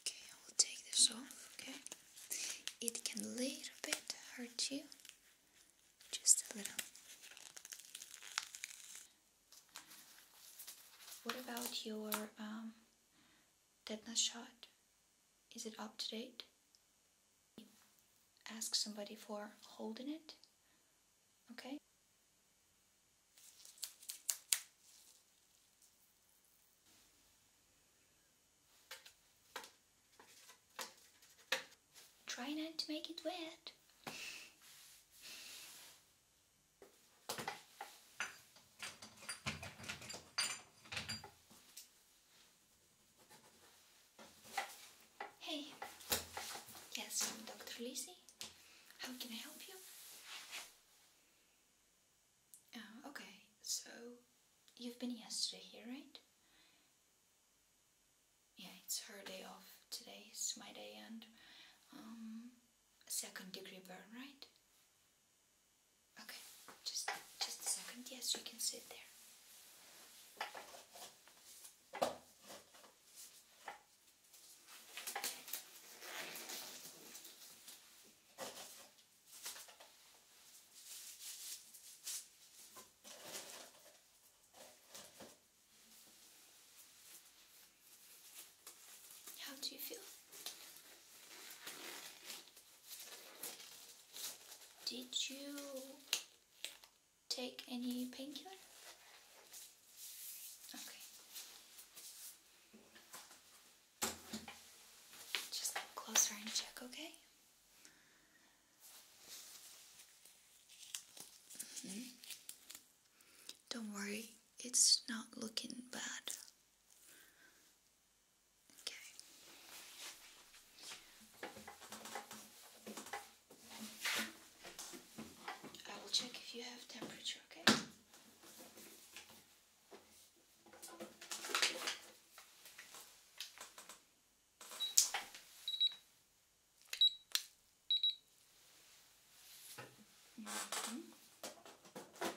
Okay, I will take this off, okay? It can a little bit hurt you, just a little. What about your um, tetanus shot? Is it up to date? ask somebody for holding it. Okay? Try not to make it wet. Hey, yes, I'm Dr. Lizzie. How can I help you? Uh, okay, so you've been yesterday here, right? Yeah, it's her day off. Today is my day and um, second degree burn, right? Okay, just just a second. Yes, you can sit there. How do you feel? Did you take any painkiller? Okay. Just closer and check, okay? Hmm. Don't worry, it's not looking bad. I will check if you have temperature, okay? -hmm.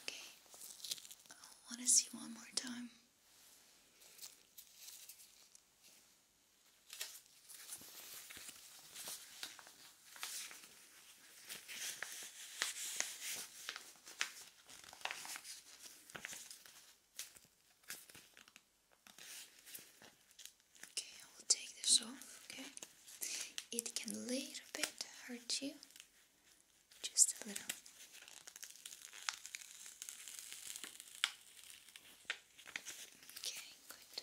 Okay, I want to see one more time. Okay, I will take this off, okay? It can a little bit hurt you, just a little. Okay, good.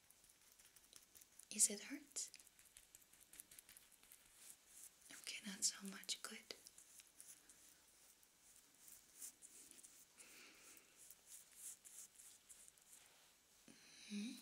Is it hurt? Okay, not so much. Good. Mm-hmm.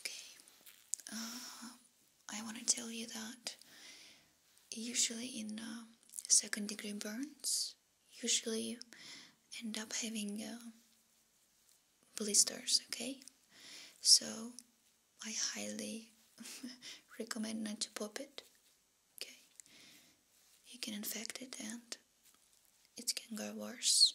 Okay, uh, I want to tell you that usually in um, second degree burns, usually end up having uh, blisters, okay? So I highly recommend not to pop it, okay? You can infect it and it can go worse.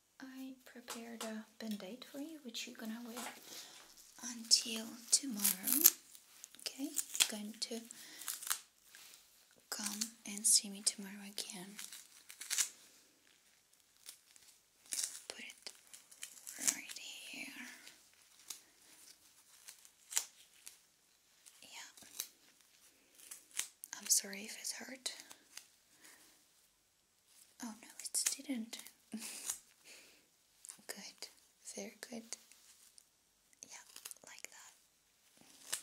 I prepared a band-aid for you which you're gonna wear until tomorrow okay you're going to come and see me tomorrow again put it right here yeah I'm sorry if it's hurt. Oh no, it didn't. good, very good. Yeah, like that.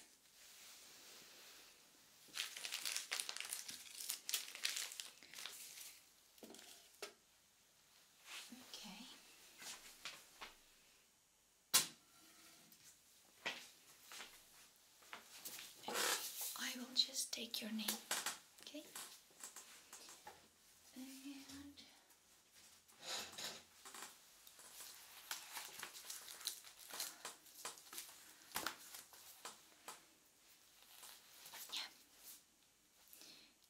Okay. I will just take your name, okay? yeah.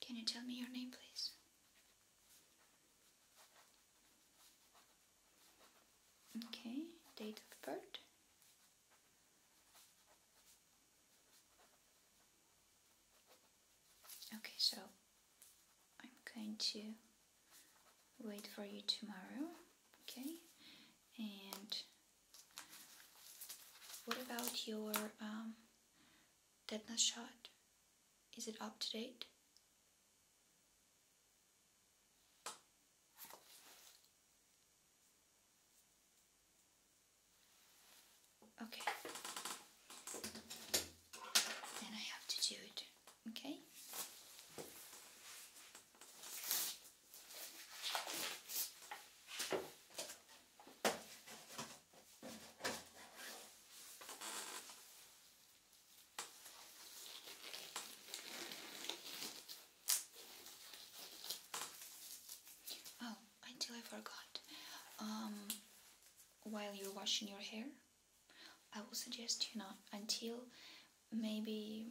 Can you tell me your name, please? Okay, date of birth. Okay, so I'm going to wait for you tomorrow, okay? And what about your um, tetanus shot? Is it up to date? Okay. Then I have to do it. Okay? Oh, until I forgot. Um, while you're washing your hair, I will suggest you not until maybe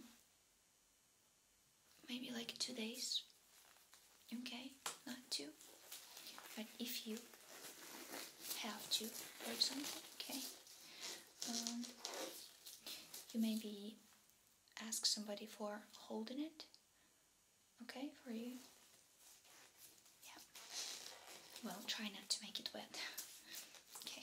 maybe like two days. Okay, not two. But if you have to or something, okay um, you maybe ask somebody for holding it okay for you yeah well try not to make it wet okay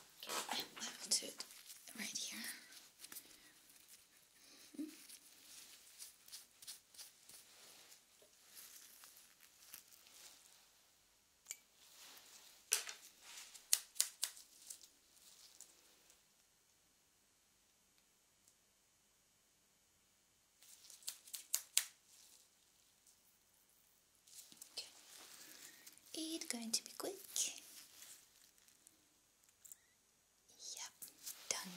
I left it right here. Mm -hmm. It's going to be quick. Yep, done.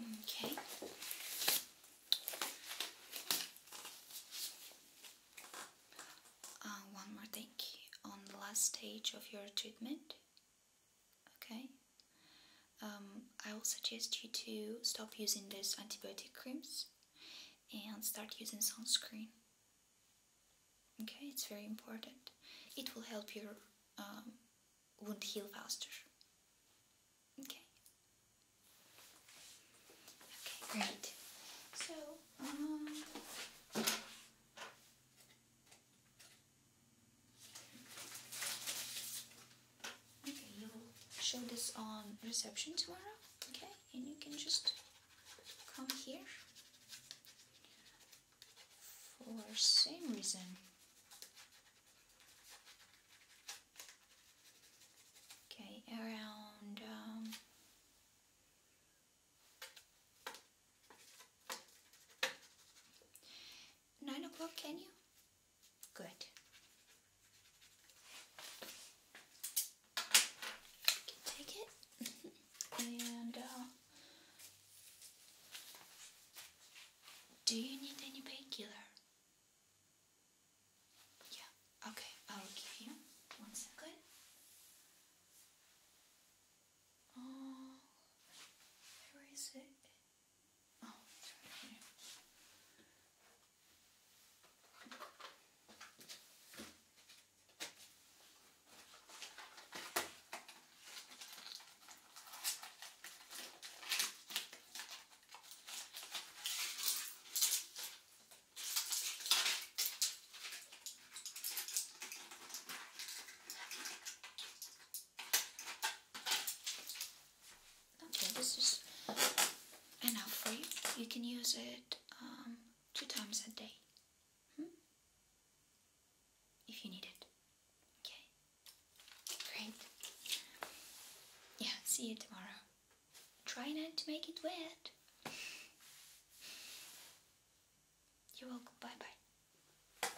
Okay. Uh, one more thing on the last stage of your treatment. Okay. Um, I will suggest you to stop using those antibiotic creams and start using sunscreen. Okay, it's very important. It will help your um, wound heal faster. Okay. Okay, great. So, um, okay, you'll show this on reception tomorrow. Okay, and you can just come here for same reason okay around um, nine o'clock can you good take it and uh, do you need any painkiller? Yeah, okay, I'll give you one second. Oh, where is it? Oh, it's right here. Okay, this is enough for you. You can use it um, two times a day. Hmm? If you need it. Okay? Great. Yeah, see you tomorrow. Try not to make it wet. You're welcome. Bye bye.